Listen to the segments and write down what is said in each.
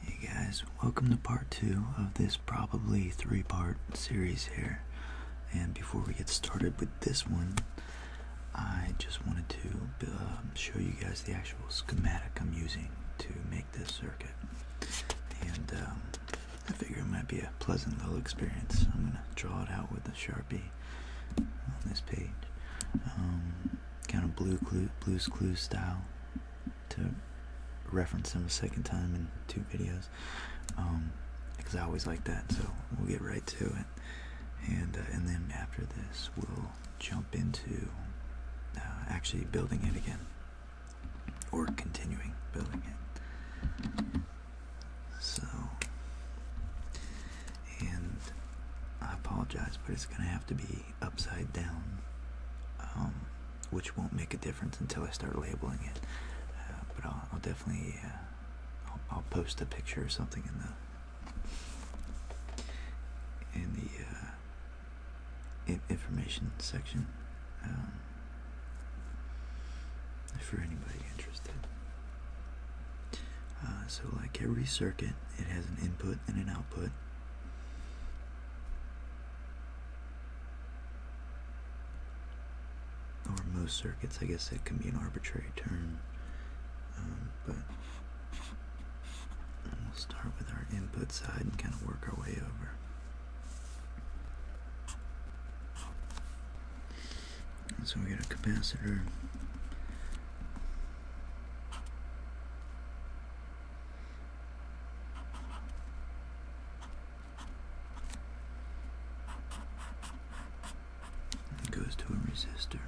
Hey guys, welcome to part two of this probably three part series here. And before we get started with this one, I just wanted to um, show you guys the actual schematic I'm using to make this circuit. And um, I figure it might be a pleasant little experience. I'm gonna draw it out with a sharpie on this page, um, kind of blue clue, blues clues style, to reference them a second time in two videos, because um, I always like that. So we'll get right to it, and uh, and then after this we'll jump into uh, actually building it again or continuing building it. So, and I apologize, but it's going to have to be upside down, um, which won't make a difference until I start labeling it. Uh, but I'll, definitely, uh, I'll, post a picture or something in the in the uh, information section. Um, for anybody interested. Uh, so, like every circuit, it has an input and an output. Or most circuits, I guess it can be an arbitrary term. Um, but we'll start with our input side and kind of work our way over. So we get a capacitor. It goes to a resistor.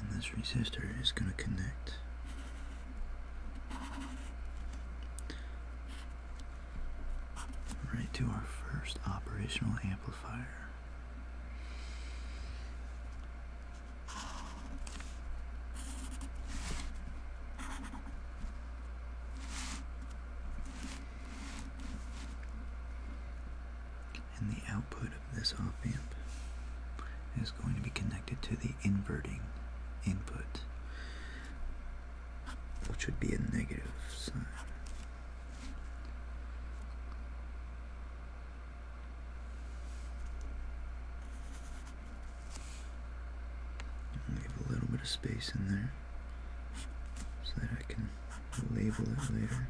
And this resistor is going to connect right to our first operational amplifier. And the output of this op amp is going to be connected to the inverting input which would be a negative sign. Leave a little bit of space in there so that I can label it later.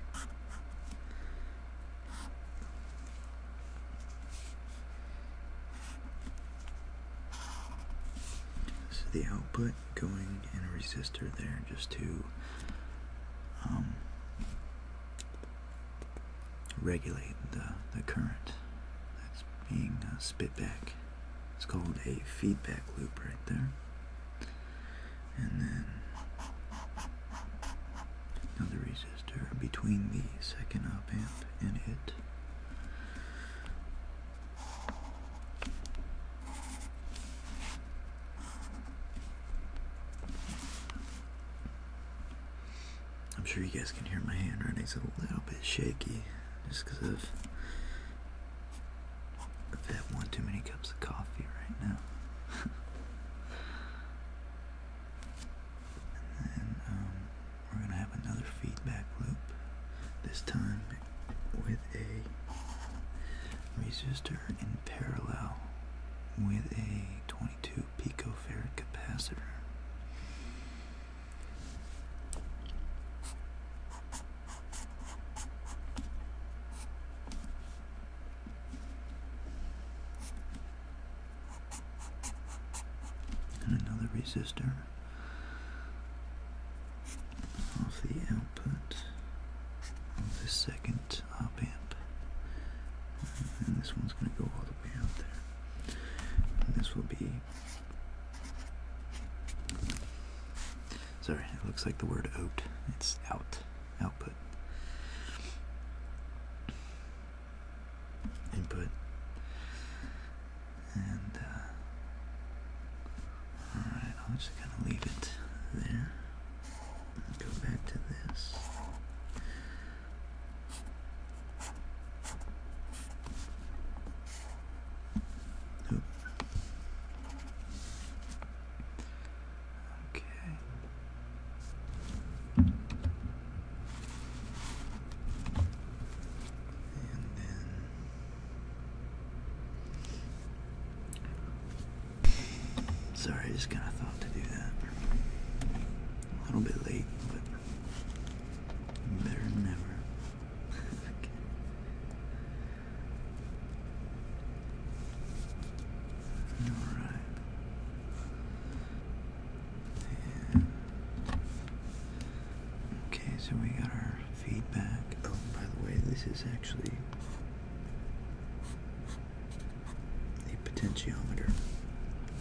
This is the output going in a resistor there just to um, regulate the, the current that's being uh, spit back. It's called a feedback loop right there. And then another resistor between the second op amp and it. I'm sure you guys can hear my handwriting's a little bit shaky just because I've, one too many cups of coffee right now. and um, we're going to have another feedback loop. This time with a resistor in parallel with a 22 picofarad capacitor. And another resistor of the output of the second op amp. And this one's going to go all the way out there. And this will be. Sorry, it looks like the word out. It's out. Output. Input. Uh, alright, i I'm just gonna leave it there. Go back to this. Okay. And then Sorry, I just kind of thought to do that. A little bit late, but better than never. Alright. And Okay, so we got our feedback. Oh, by the way, this is actually a potentiometer.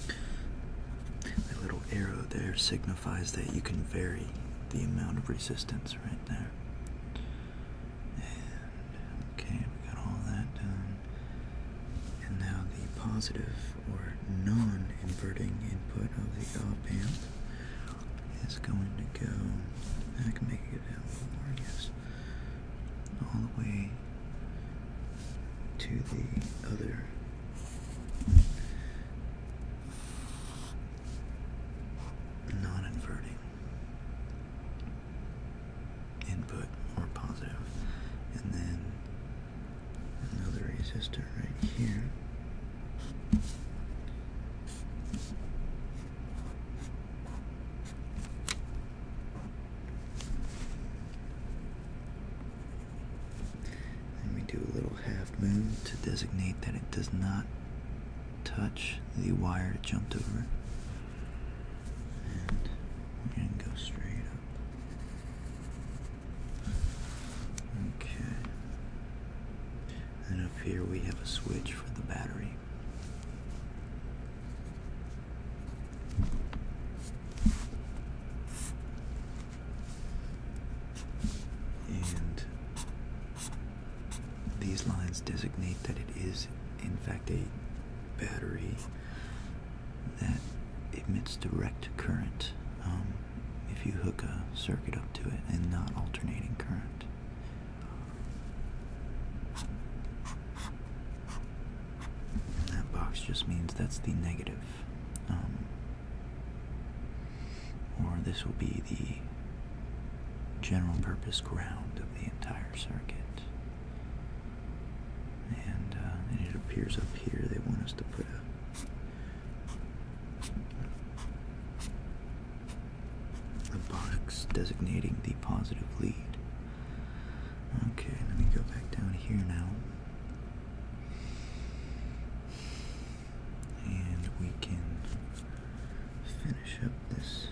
That little arrow there signifies that you can vary the amount of resistance right there. okay, we got all that done. And now the positive or non inverting input of the op amp is going to go, I can make it a little more, I guess, all the way to the other. Non inverting input or positive, and then another resistor right here, and we do a little half moon to designate that it does not touch the wire it jumped over. And go straight up. Okay and up here we have a switch for the battery. And these lines designate that it is, in fact, a battery that emits direct current. Um, if you hook a circuit up to it and not alternating current. that box just means that's the negative. Um, or this will be the general purpose ground of the entire circuit. and uh, it appears up here they want us to put a the box designating the positive lead. Okay, let me go back down here now. And we can finish up this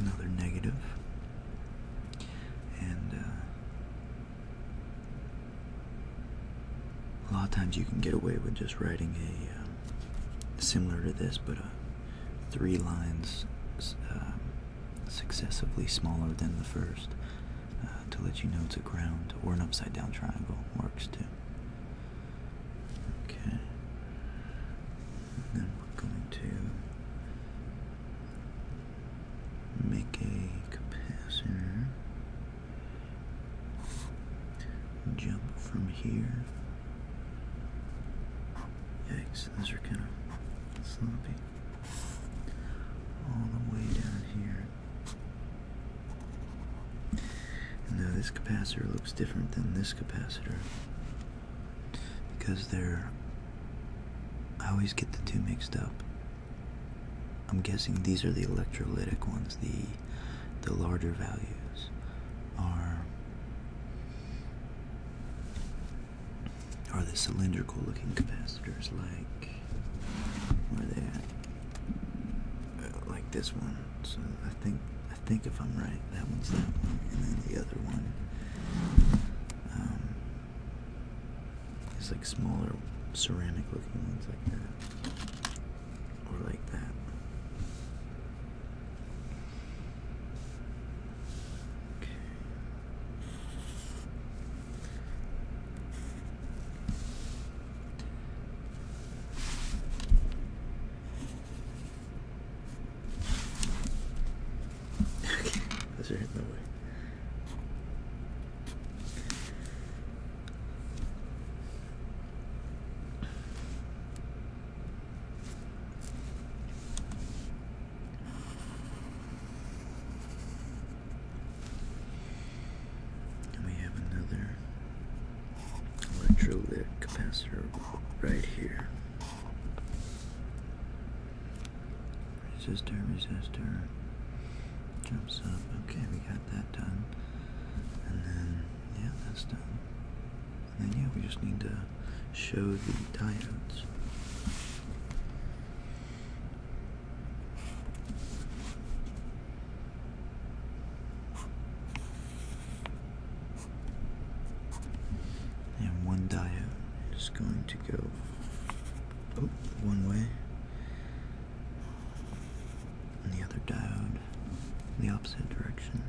another negative, and uh, a lot of times you can get away with just writing a uh, similar to this, but uh, three lines um, successively smaller than the first to let you know it's a ground or an upside down triangle works too. Okay. then we're going to make a capacitor jump from here. Yikes, those are kind of sloppy. All the way down here. Now this capacitor looks different than this capacitor because they're I always get the two mixed up. I'm guessing these are the electrolytic ones. The the larger values are are the cylindrical looking capacitors like where are they at? Uh, like this one. So I think I think if I'm right, that one's that one, and then the other one um, is like smaller ceramic-looking ones like that, or like that. Okay. Okay, that's right in the way. And we have another electrolytic capacitor right here. Resistor, resistor, jumps up. Okay, we got that done. And then, yeah, that's done. And then, yeah, we just need to show the diodes. And one diode is going to go oh, one way, and the other diode in the opposite direction.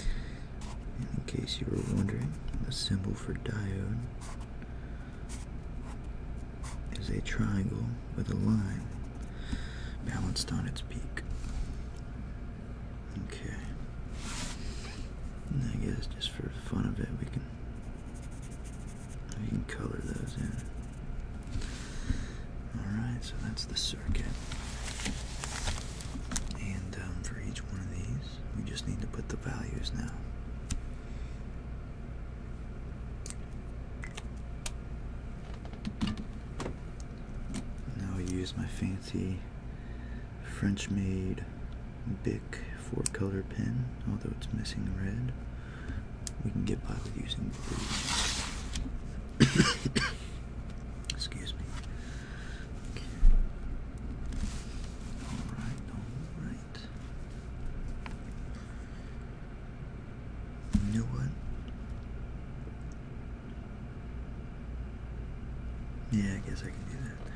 in case you were wondering, the symbol for diode is a triangle with a line balanced on its peak. Okay. I guess just for fun of it, we can we can color those in. Alright, so that's the circuit. And um, for each one of these, we just need to put the values now. Now I use my fancy French made Bic four color pen, although it's missing red. We can get by with using blue. Excuse me. Alright, alright. You know what? Yeah, I guess I can do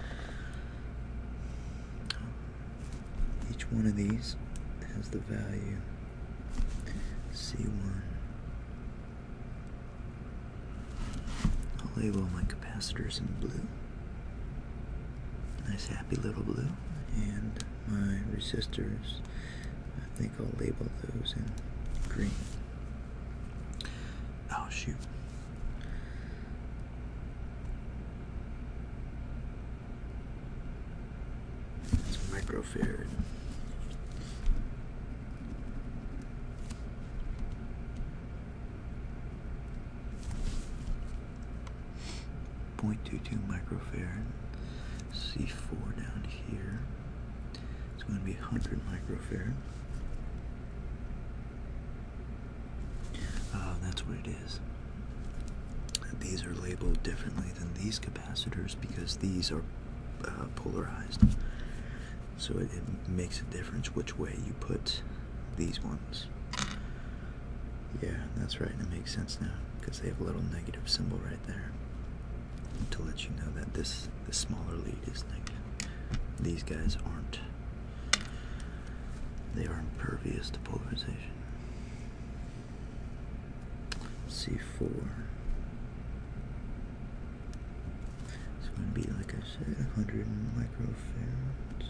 that. Each one of these has the value C1. I'll label my capacitors in blue. Nice happy little blue. And my resistors I think I'll label those in green. Oh shoot. It's microfarad. Point two two microfarad. C four down here here. It's going to be 100 microfarad. Ah, that's what it is. These are labeled differently than these capacitors because these are uh, polarized. So it makes a difference which way you put these ones. Yeah, that's right. It makes sense now because they have a little negative symbol right there to let you know that this this smaller lead is negative. These guys aren't. They are impervious to polarization. C4. It's going to be, like I said, 100 microfarads.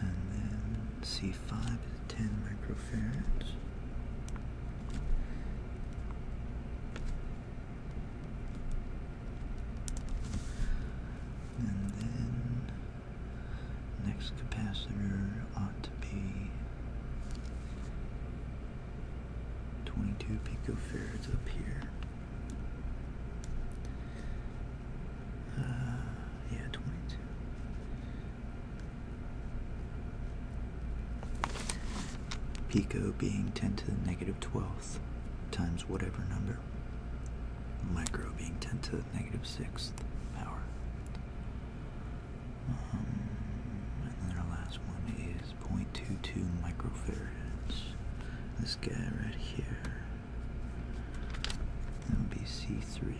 And then C be 10 microfarads. And then next capacitor ought to be 22 picofarads up here. Uh, yeah, 22. Pico being 10 to the negative 12th times whatever number. Micro being 10 to the negative 6th power. Um, and then our last one is 0.22 microfarads. This guy right here. That would be C3.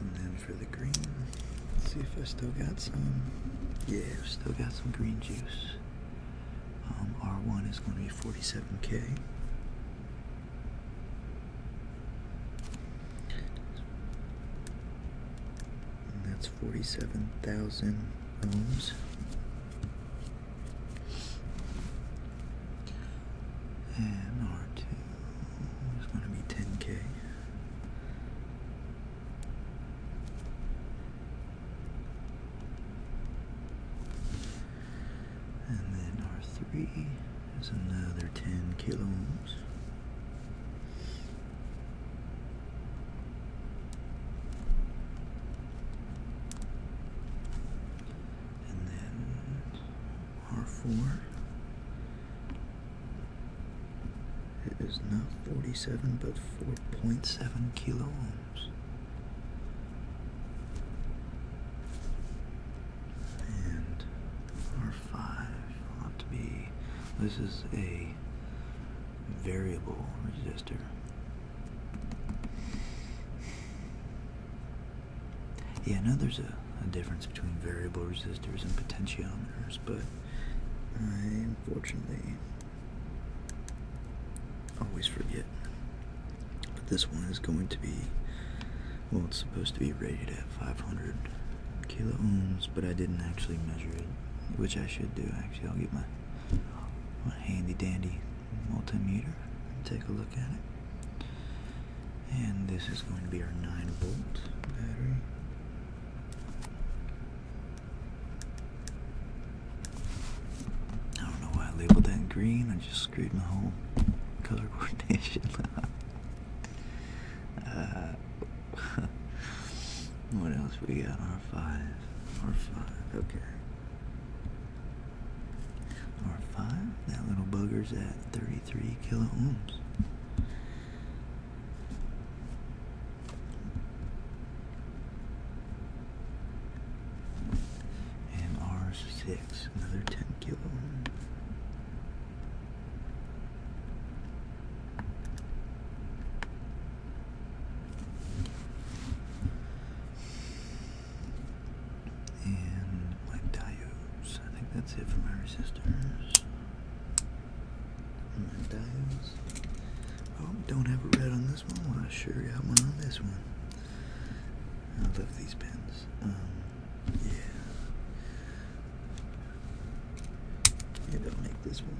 And then for the green, let's see if I still got some. Yeah, still got some green juice. Um, R1 is going to be 47K that's 47,000 ohms. And R2 is going to be 10k. And then R3. There's another 10 kilohms. And then R4 it is not 47 but 4.7 kilo ohms. And or 5 will to be, this is a variable resistor. Yeah, I know there's a difference between variable resistors and potentiometers, but I unfortunately always forget. But this one is going to be, well, it's supposed to be rated at 500 kilo ohms, but I didn't actually measure it, which I should do. Actually, I'll get my my handy dandy multimeter and take a look at it. And this is going to be our nine volt battery. I don't know why I labeled that green. I just screwed my whole color coordination. Uh, what else we got? R five, R five. Okay, R five. That little bugger's at thirty-three kilo ohms. And R six, another ten kilo. And wipe diodes. I think that's it for my resistors. And my diodes. Oh, don't have a red on this one. Well, I sure got one on this one. I love these pins. Um, yeah. Maybe I'll make this one.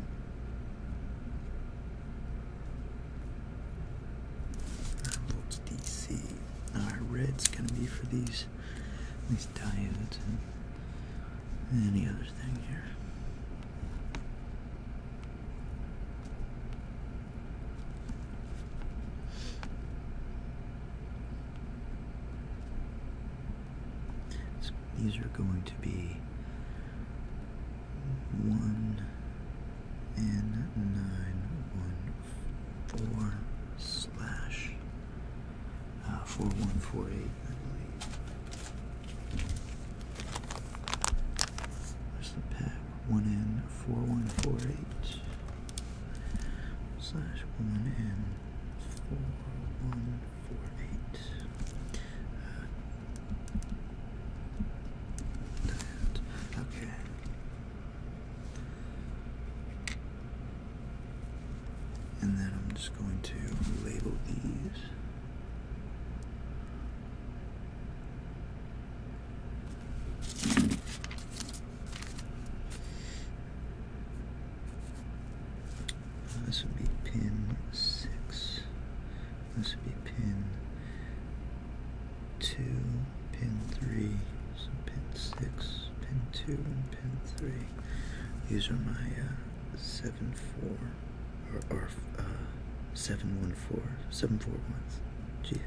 Volts DC. Our red's gonna be for these these diodes and any other thing here these are going to be 1 and 914 slash uh, 4148, I believe. There's the pack 1 and 4148 slash 1 and 4148. Okay. And then I'm just going to label these. Uh, this would be pin 6. This would be pin 2, pin 3, so pin 6, pin 2, and pin 3. These are my uh, 7 4 or, or uh, 7 1 4, 7 4 ones. Jeez.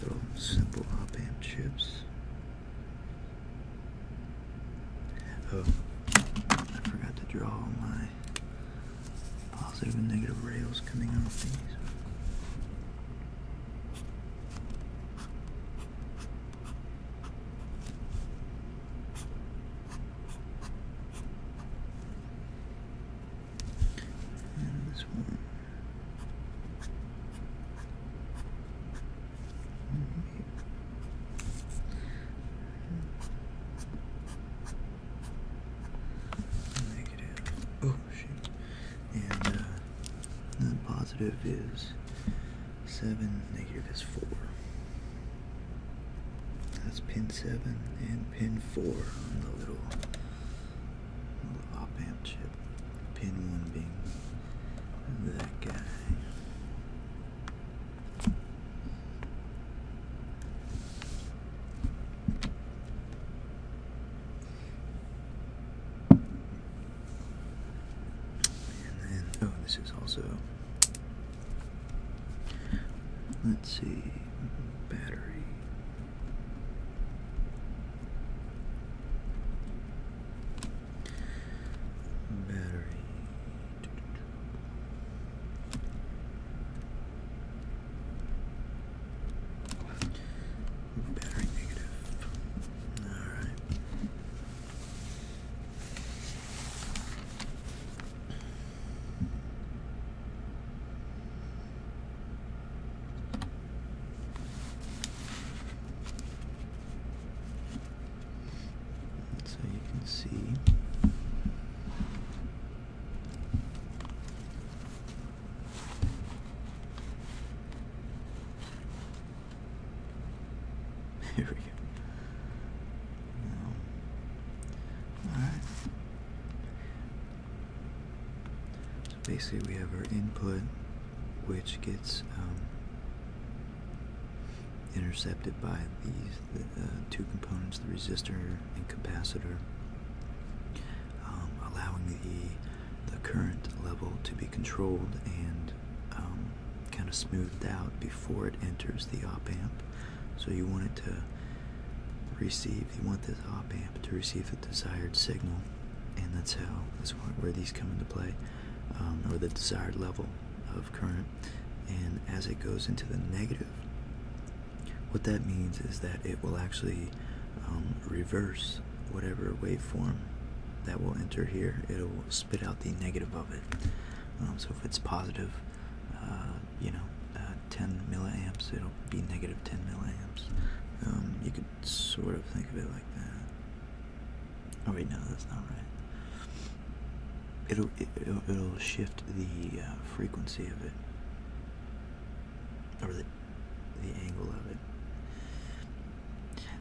Little simple op amp chips. Oh, I forgot to draw my positive and negative rails coming off these. And this one. Negative. Oh shoot. And uh, then positive is seven. Negative is four. That's pin seven and pin four on the little op amp chip, pin one being that guy. And then, oh, this is also, let's see, battery. Battery. Battery negative. All right. So you can see here we go. All right. So basically we have our input which gets um, intercepted by these uh, two components, the resistor and capacitor, um, allowing the, the current level to be controlled and um, kind of smoothed out before it enters the op-amp. So you want it to receive, you want this op-amp to receive the desired signal and that's how that's where these come into play, um, or the desired level of current. And as it goes into the negative, what that means is that it will actually um, reverse whatever waveform that will enter here. It'll spit out the negative of it. Um, so if it's positive, uh, you know, uh, 10 milliamps, it'll be negative 10 milliamps. you could sort of think of it like that. Oh wait, no, that's not right. It'll it, will it will shift the uh, frequency of it or the the angle of it.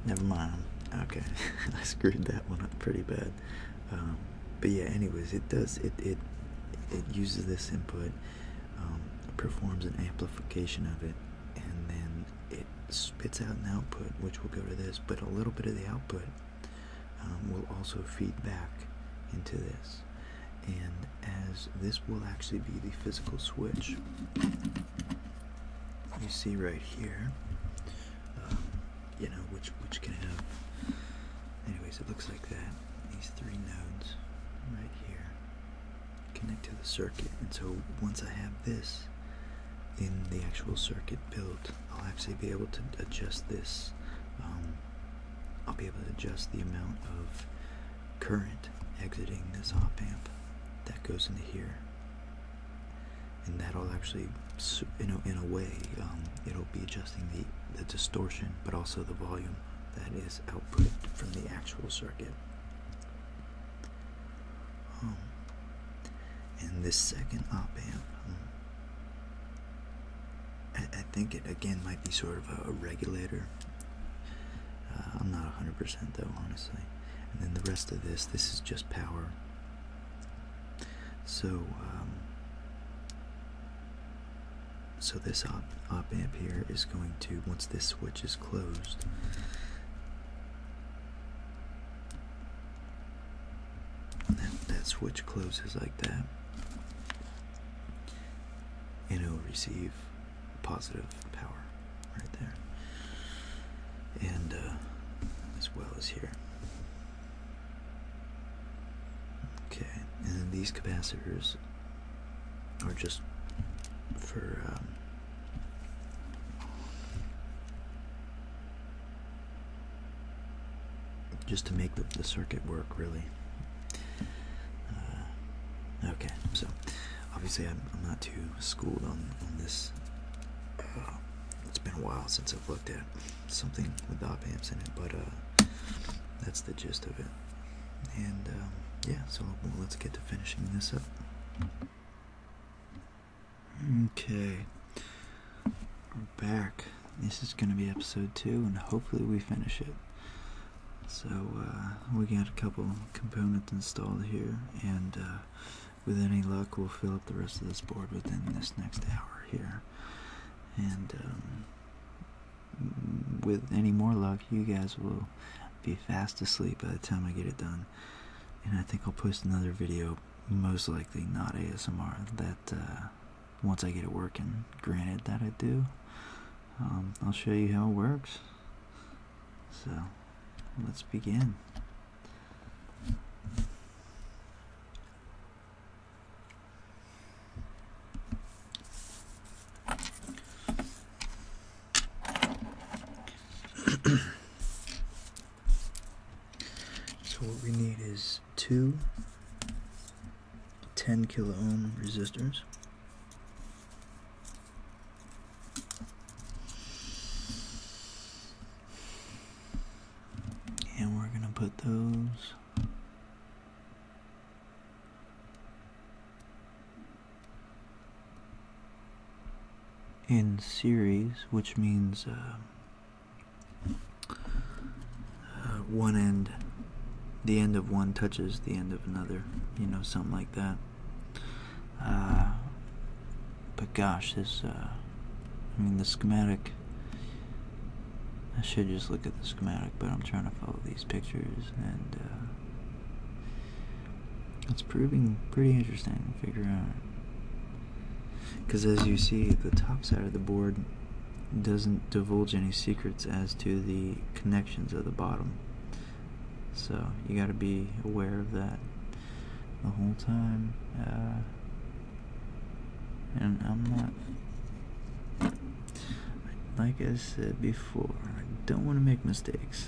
Never mind. Okay, I screwed that one up pretty bad. Um, but yeah, anyways, it does it it it uses this input, um, performs an amplification of it, and then it spits out an output which will go to this but a little bit of the output um, will also feed back into this and as this will actually be the physical switch you see right here um, you know which which can have anyways it looks like that these three nodes right here connect to the circuit. And so once I have this in the actual circuit built, I'll actually be able to adjust this. Um, I'll be able to adjust the amount of current exiting this op amp that goes into here. And that'll actually, you know, in a way, um, it'll be adjusting the, the distortion, but also the volume that is output from the actual circuit and this second op amp, um, I, think it again might be sort of a, regulator. Uh, I'm not 100% though, honestly. And then the rest of this, this is just power. So, um, so this op, op amp here is going to, once this switch is closed, that switch closes like that. And it will receive positive power right there. And uh, as well as here. Okay, and these capacitors are just for um, just to make the, circuit work really uh, okay so obviously I'm, not too schooled on, on this uh, it's been a while since I've looked at something with op amps in it but uh, that's the gist of it and um, yeah so let's get to finishing this up Okay. We're back. This is going to be episode two, and hopefully we finish it. So, uh, we got a couple components installed here, and uh, with any luck, we'll fill up the rest of this board within this next hour here. And um, with any more luck, you guys will be fast asleep by the time I get it done. And I think I'll post another video, most likely not ASMR, that uh, once I get it working. Granted that I do, um, I'll show you how it works. So, let's begin. so what we need is two 10 kilo ohm resistors. And we're going to put those in series, which means uh, uh, one end, the end of one touches the end of another, you know, something like that. Uh, but gosh, this, I mean, the schematic, I should just look at the schematic, but I'm trying to follow these pictures and it's proving pretty interesting to figure out. Because as you see, the top side of the board doesn't divulge any secrets as to the connections of the bottom. So you got to be aware of that the whole time. Uh, and I'm not, like I said before, I don't want to make mistakes.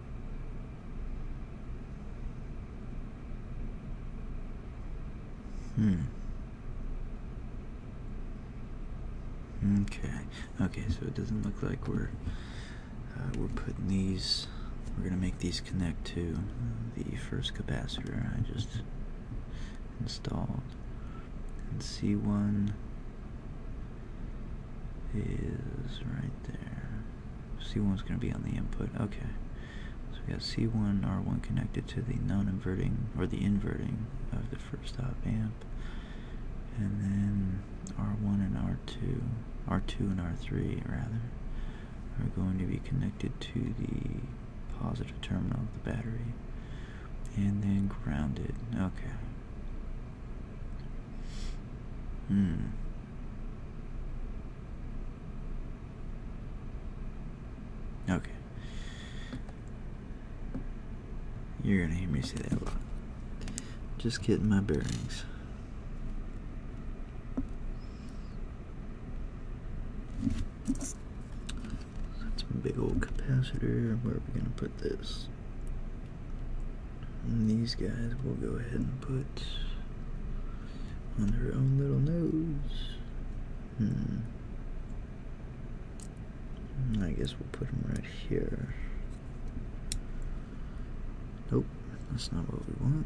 Hmm. Okay. Okay. So it doesn't look like we're uh, we're putting these. We're gonna make these connect to the first capacitor I just installed. And C1 is right there. C1 is going to be on the input. Okay. So we got C1, R1 connected to the non-inverting, or the inverting of the first op amp. And then R1 and R2, R2 and R3 rather, are going to be connected to the positive terminal of the battery. And then grounded. Okay. Hmm. Okay. You're gonna hear me say that a lot. Just getting my bearings. That's my big old capacitor. Where are we gonna put this? And these guys will go ahead and put on their own little nose. Hmm. I guess we'll put them right here. Nope, that's not what we want.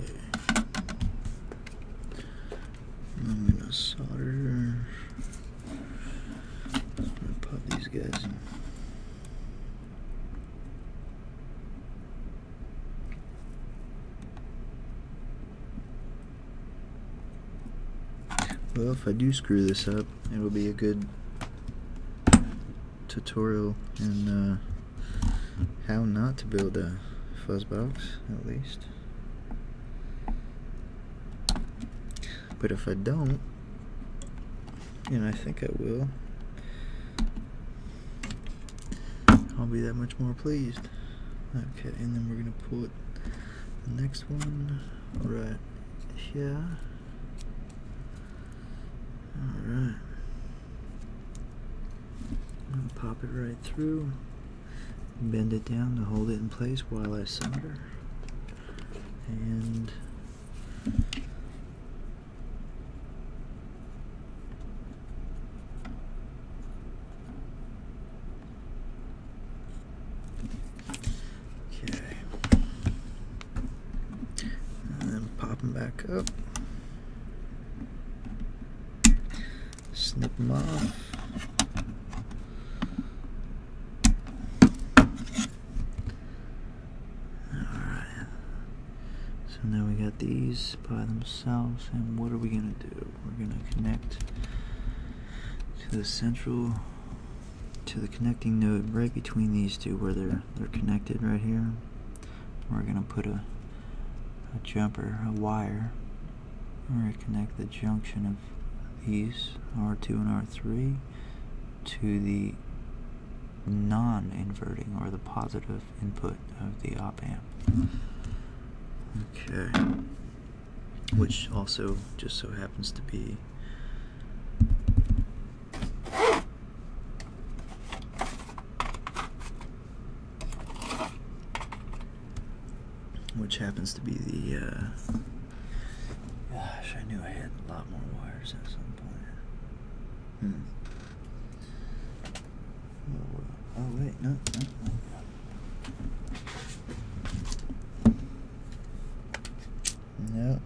Okay. I'm gonna solder. pop these guys. in. Well, if I do screw this up, it'll be a good tutorial on uh, how not to build a fuzzbox, at least. But if I don't, and I think I will, I'll be that much more pleased. Okay, and then we're gonna put the next one right here. Alright. pop it right through. Bend it down to hold it in place while I solder. And Okay. then pop them back up. Snip them off. All right. So now we got these by themselves, and what are we gonna do? We're gonna connect to the central, to the connecting node right between these two where they're, they're connected right here. We're gonna put a, a jumper, a wire. We're gonna connect the junction of these, R2 and R3, to the non-inverting or the positive input of the op amp. Okay. Which also just so happens to be which happens to be the uh, gosh I knew I had a lot more wires at some point hmm Oh, wait, no, no, no. No.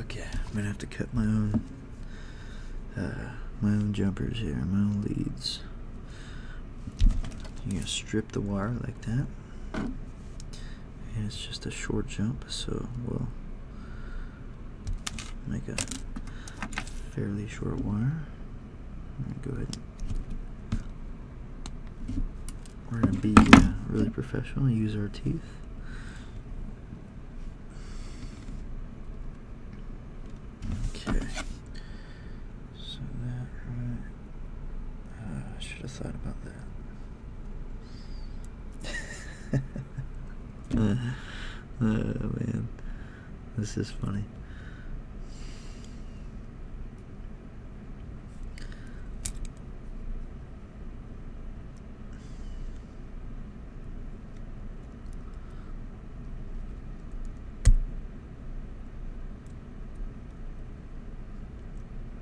Okay, I'm gonna have to cut my own, uh, my own jumpers here, my own leads. You're gonna strip the wire like that. And it's just a short jump, so we'll make a fairly short wire. Go ahead. We're gonna be uh, really professional. Use our teeth. Okay. So that right. Ah, I should have thought about that. oh man, this is funny.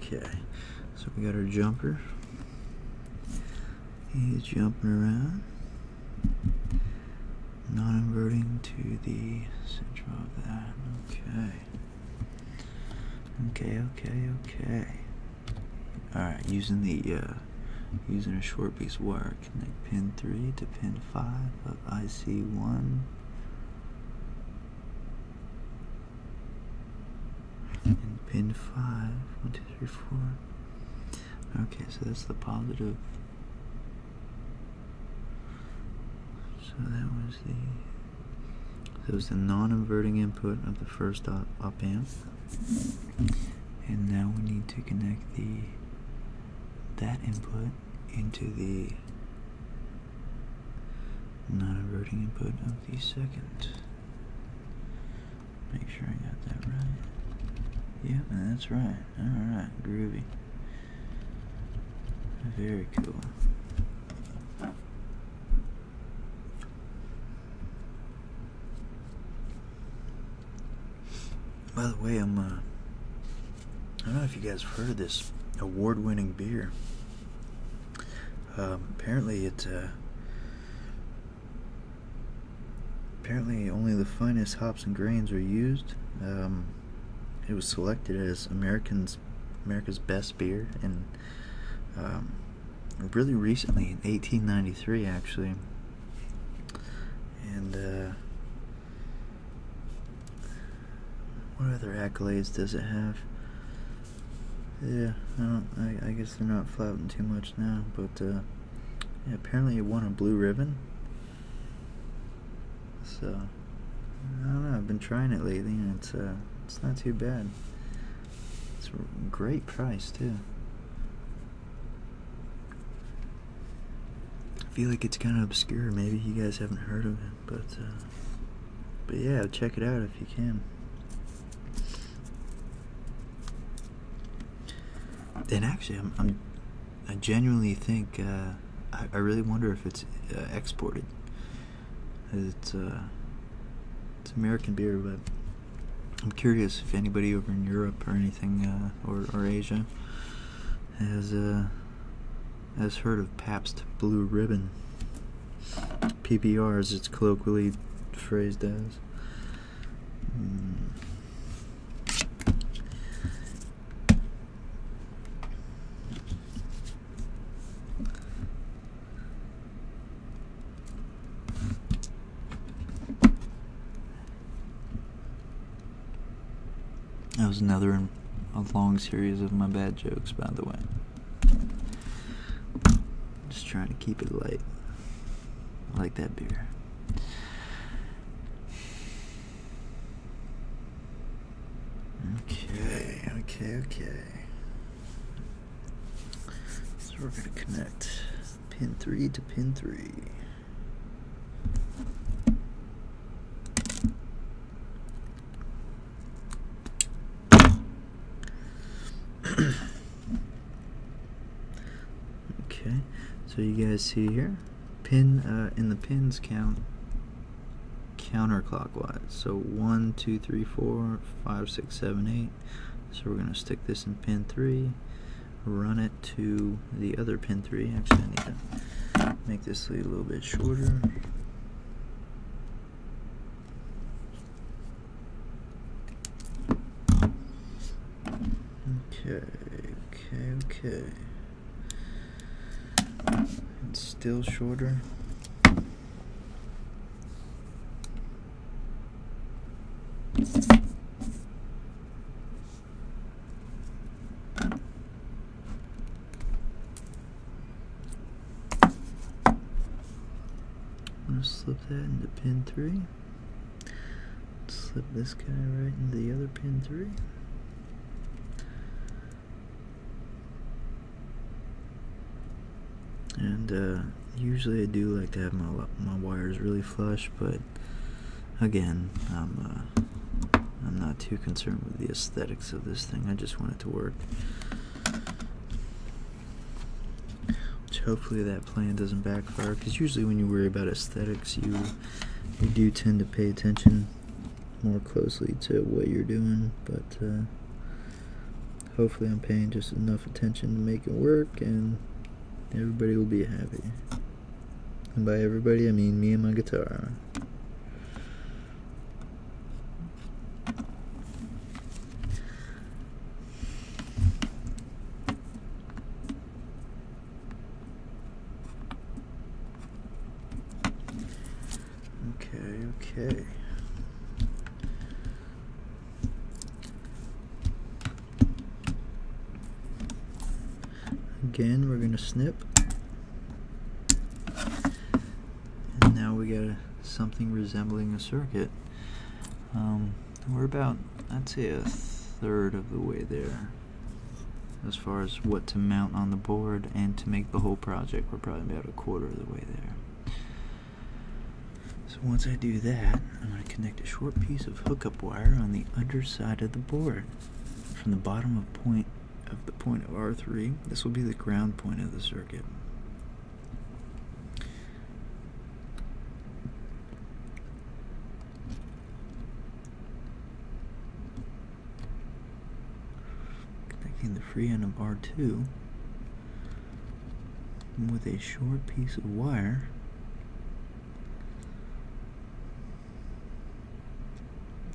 Okay, so we got our jumper. He's jumping around. Not inverting to the center of that. Okay. Okay, okay, okay. Alright, using the uh, using a short piece wire, connect pin 3 to pin 5 of IC1 and pin 5, 1, 2, 3, 4. Okay, so that's the positive. So that was the it was the non-inverting input of the first op amp. And now we need to connect the that input into the not a eroding input of the second. Make sure I got that right. Yep, that's right. Alright, groovy. Very cool. By the way, I'm uh, I don't know if you guys have heard of this award-winning beer. Um, apparently, it uh, apparently only the finest hops and grains are used. Um, it was selected as Americans America's best beer, and um, really recently in 1893, actually. And uh, what other accolades does it have? Yeah, I don't. I, guess they're not flouting too much now, but uh, apparently it won a blue ribbon. So I don't know. I've been trying it lately, and it's uh, it's not too bad. It's a great price too. I feel like it's kind of obscure. Maybe you guys haven't heard of it but uh, but yeah, check it out if you can. And actually, I'm, i genuinely think uh, I, I really wonder if it's uh, exported. It's it's American beer, but I'm curious if anybody over in Europe or anything or or Asia as uh, as heard of Pabst Blue Ribbon. PBR as it's colloquially phrased as. That was another a long series of my bad jokes, by the way. Just trying to keep it light. I like that beer. Okay, okay, okay. So we're going to connect pin 3 to pin 3 okay, so you guys see here, pin uh, in the pins count counterclockwise. So one, two, three, four, five, six, seven, eight. So we're going to stick this in pin 3, run it to the other pin three. Actually, I need to make this sleeve a little bit shorter. Okay, okay, okay. It's still shorter. I'm gonna slip that into pin 3. Slip this guy right into the other pin 3. And uh, usually I do like to have my, my wires really flush, but again, I'm uh, I'm not too concerned with the aesthetics of this thing. I just want it to work. Which hopefully that plan doesn't backfire, because usually when you worry about aesthetics, you you do tend to pay attention more closely to what you're doing. But uh, hopefully, I'm paying just enough attention to make it work, and everybody will be happy. And by everybody, I mean me and my guitar. Okay, okay. Again, we're going to snip. And now we got something resembling a circuit. Um, we're about, I'd say, a third of the way there as far as what to mount on the board and to make the whole project. We're probably about a quarter of the way there. So once I do that, I'm going to connect a short piece of hookup wire on the underside of the board from the bottom of point of the point of R3. This will be the ground point of the circuit. Connecting the free end of R2 with a short piece of wire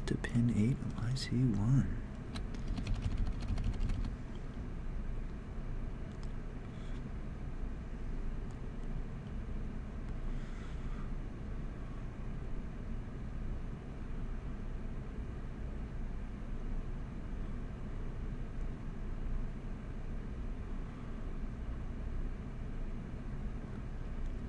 to pin 8 on IC1.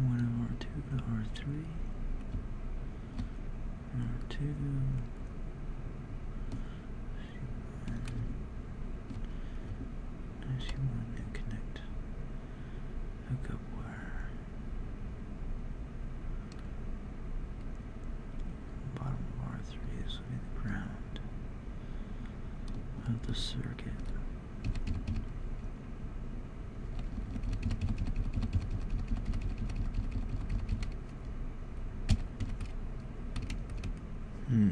One R2 to R3. R2. Now she wanted to connect hookup wire. Bottom of 3 this will be the ground of the circuit. Hmm.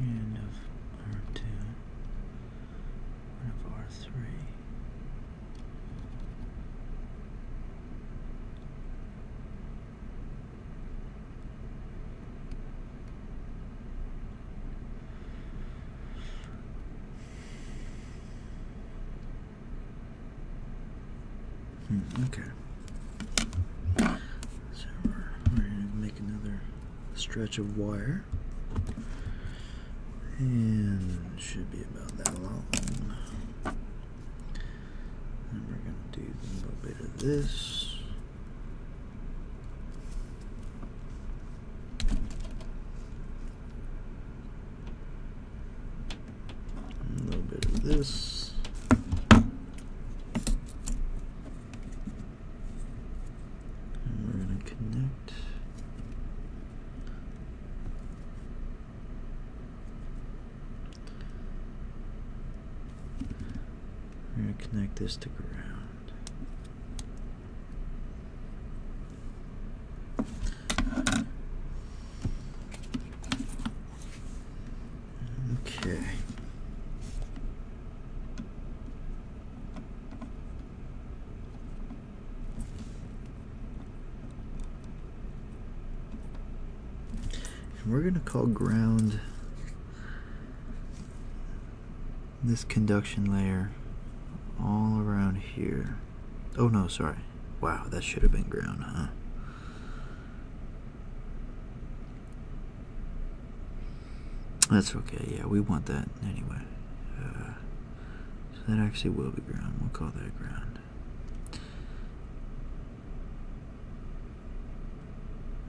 Friend of R2 and of R3. Hmm, okay. So we're, going to make another stretch of wire. And should be about that long. And we're going to do a little bit of this. A little bit of this. we're going to connect. We're going to connect this to ground okay. And we're going to call ground this conduction layer all around here. Oh no, sorry. Wow, that should have been ground, huh? That's okay, yeah, we want that anyway. Uh, so that actually will be ground. We'll call that ground.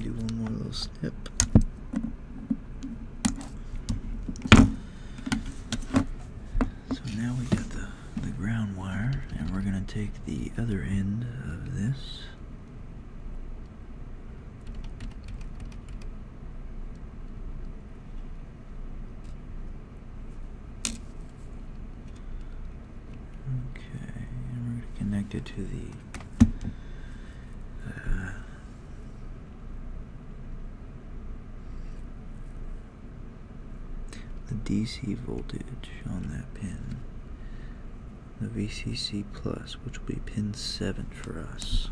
do one more little snip. So now we got the the ground wire, and we're gonna take the other end of this Okay, and we're going to connect it to the uh, the DC voltage on that pin the VCC Plus, which will be pin 7 for us.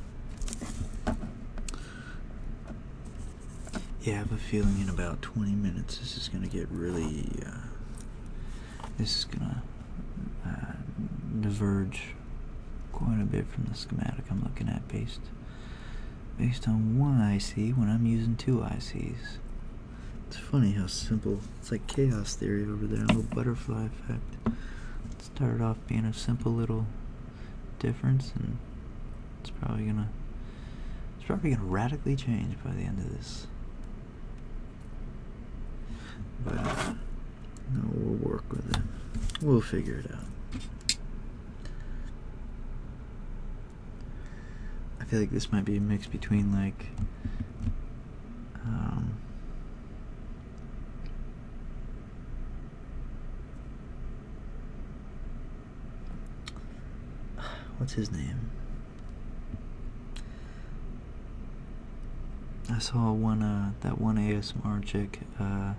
Yeah, I have a feeling in about 20 minutes this is going to get really. Uh, this is going to uh, diverge quite a bit from the schematic I'm looking at based based on one IC when I'm using two ICs. It's funny how simple. It's like chaos theory over there, a little butterfly effect started off being a simple little difference and it's probably gonna it's probably gonna radically change by the end of this but no, we'll work with it we'll figure it out I feel like this might be a mix between like um, What's his name? I saw one uh that one ASMR chick uh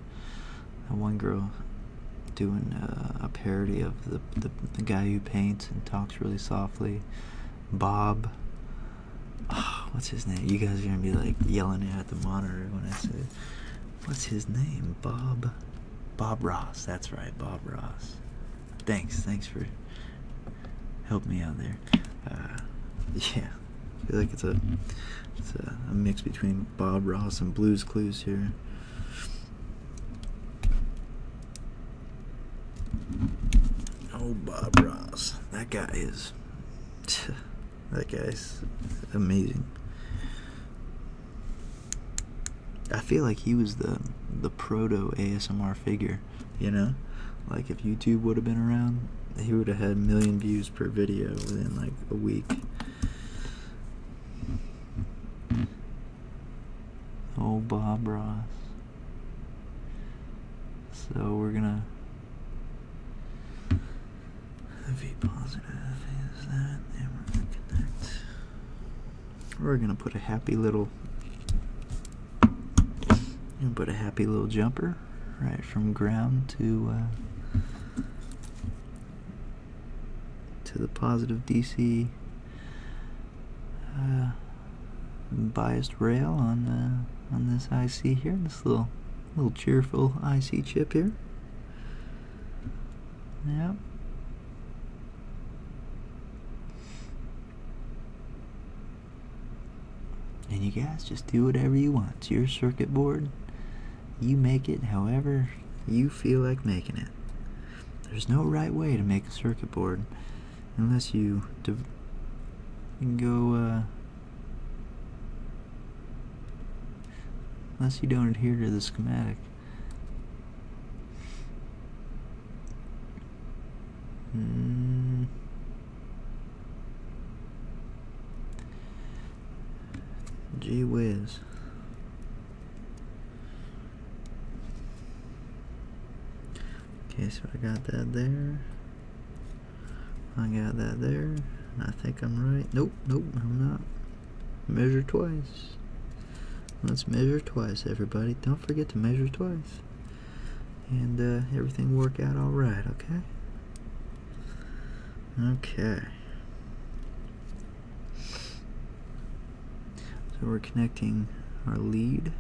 that one girl doing uh, a parody of the, the the guy who paints and talks really softly Bob Ah, what's his name? You guys are gonna be like yelling at the monitor when I say, what's his name? Bob, Bob Ross. That's right, Bob Ross. Thanks, thanks for helping me out there. Uh, yeah, I feel like it's a it's a mix between Bob Ross and Blues Clues here. Oh, Bob Ross. That guy is that guy's amazing. I feel like he was the the proto ASMR figure, you know? Like if YouTube would have been around, he would have had a million views per video within like a week. Oh Bob Ross. So we're gonna we're going to put a happy little, put a happy little jumper right from ground to uh, to the positive DC uh, biased rail on on this IC here little, little cheerful IC chip here. Yeah. And you guys just do whatever you want. It's your circuit board. You make it however you feel like making it. There's no right way to make a circuit board unless you, can go uh, Unless you don't adhere to the schematic. Hmm. Gee whiz. Okay, so I got that there. I got that there. I think I'm right. Nope, nope, I'm not. Measure twice. Let's measure twice, everybody. Don't forget to measure twice. And uh, everything work out all right, okay? Okay. So we're connecting our lead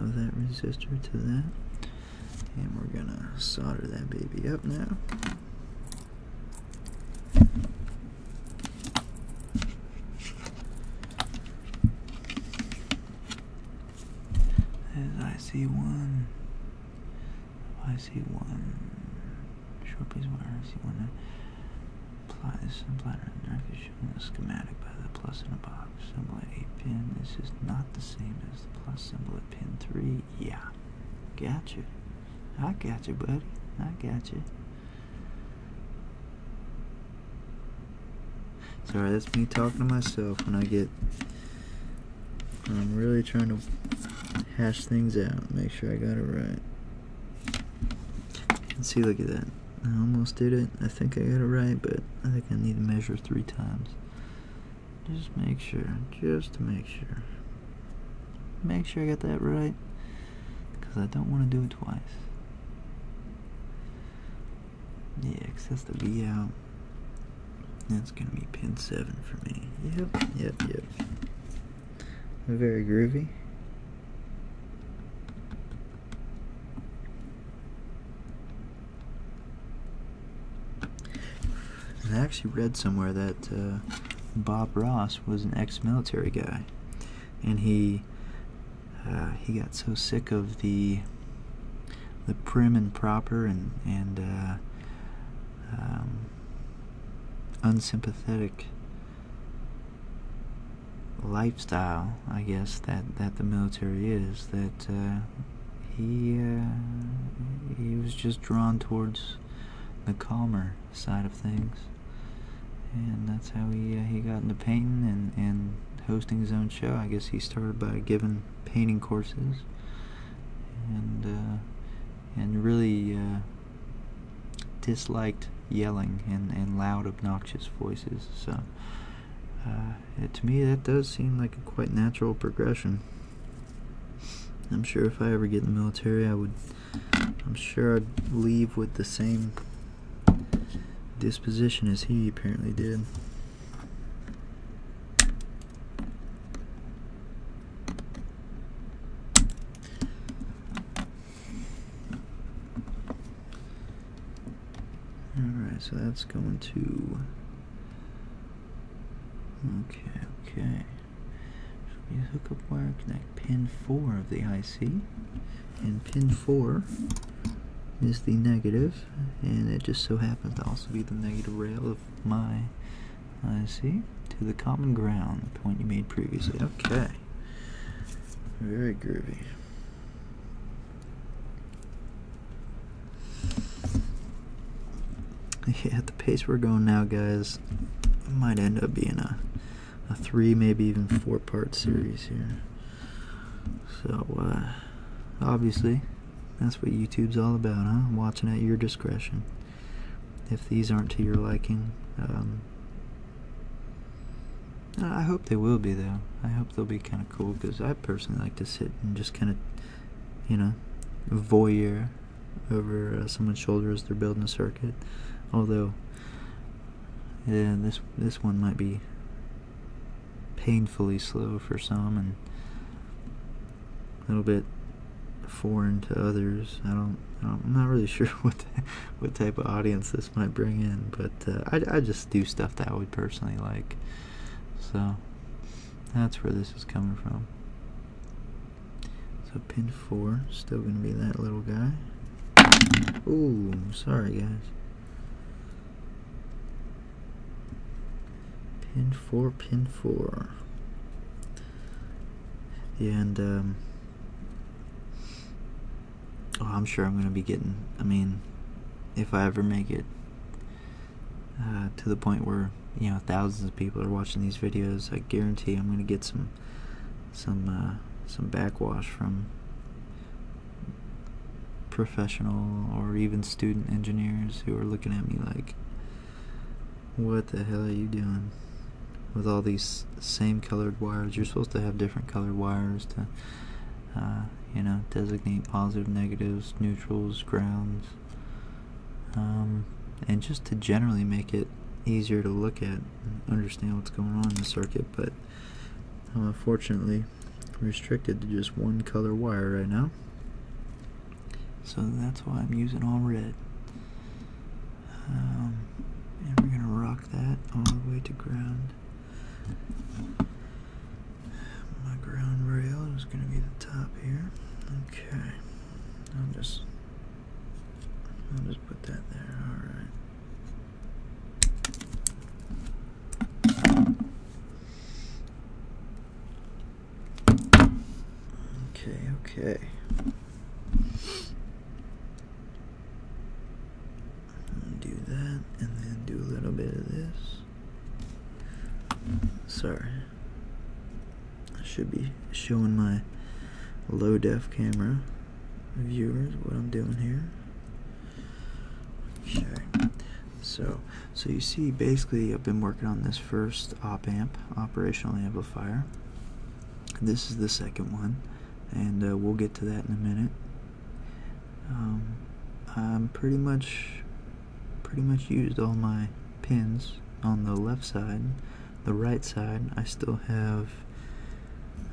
of that resistor to that and we're gonna solder that baby up now there's IC1 IC1 short piece of wire IC1 Plies and bladder and nerve is shown in the schematic by the plus in a box symbol at 8 pin. This is not the same as the plus symbol at pin 3. Yeah. Gotcha. I gotcha, buddy. I gotcha. Sorry, that's me talking to myself when I get. When I'm really trying to hash things out, make sure I got it right. Let's see, look at that. I almost did it. I think I got it right, but I think I need to measure three times. Just make sure. Just to make sure. Make sure I got that right. Because I don't want to do it twice. Yeah, because that's the V out. That's going to be pin 7 for me. Yep, yep, yep. Very groovy. I actually read somewhere that uh, Bob Ross was an ex-military guy, and he uh, he got so sick of the the prim and proper and and uh, um, unsympathetic lifestyle, I guess that that the military is. That uh, he uh, he was just drawn towards the calmer side of things, and that's how he uh, he got into painting and and hosting his own show. I guess he started by giving painting courses, and uh, and really uh, disliked yelling and, and loud, obnoxious voices. So, uh, to me, that does seem like a quite natural progression. I'm sure if I ever get in the military, I would. I'm sure I'd leave with the same disposition as he apparently did. Alright, so that's going to. Okay, okay. we hook up wire, connect pin 4 of the IC. And pin 4 is the negative, and it just so happens to also be the negative rail of my IC to the common ground, point you made previously. Okay. Very groovy. Yeah, at the pace we're going now, guys, it might end up being a, a three, maybe even four part series here. So, uh, obviously, that's what YouTube's all about, huh? Watching at your discretion. If these aren't to your liking, um, uh, I hope they will be though. I hope they'll be kind of cool because I personally like to sit and just kind of, you know, voyeur over uh, someone's shoulders. they're building a circuit. Although, yeah, this this one might be painfully slow for some and a little bit foreign to others. I don't, I am not really sure what what type of audience this might bring in, but uh, I, just do stuff that I would personally like. So that's where this is coming from. So pin four, still gonna be that little guy. Ooh, sorry guys. Pin four, pin four. and um, Oh, I'm sure I'm going to be getting, I mean, if I ever make it uh, to the point where, you know, thousands of people are watching these videos, I guarantee I'm going to get some, some, uh, some backwash from professional or even student engineers who are looking at me like, what the hell are you doing? with all these same colored wires. You're supposed to have different colored wires to uh, you know, designate positive, negatives, neutrals, grounds, um, and just to generally make it easier to look at understand what's going on in the circuit. But I'm um, unfortunately restricted to just one color wire right now. So that's why I'm using all red. Um, and we're going to rock that all the way to ground. My ground rail is going to be the top here. Okay, I'll just I'll just put that there. All right. Okay, okay do that and then do a little bit of this sorry I should be showing my low def camera viewers what I'm doing here okay so so you see basically I've been working on this first op amp operational amplifier this is the second one and uh, we'll get to that in a minute um, I'm pretty much pretty much used all my pins on the left side. The right side, I still have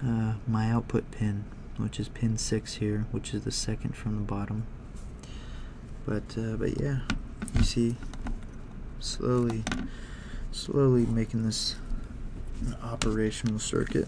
uh, my output pin, which is pin six here, which is the second from the bottom. But uh, but yeah, you see, slowly, slowly making this operational circuit.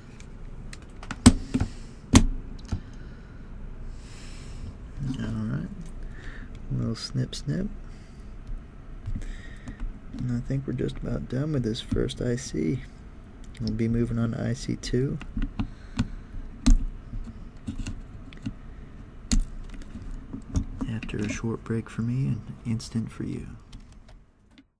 Alright. Little snip snip. And I think we're just about done with this first IC. We'll be moving on to IC2. After a short break for me and instant for you.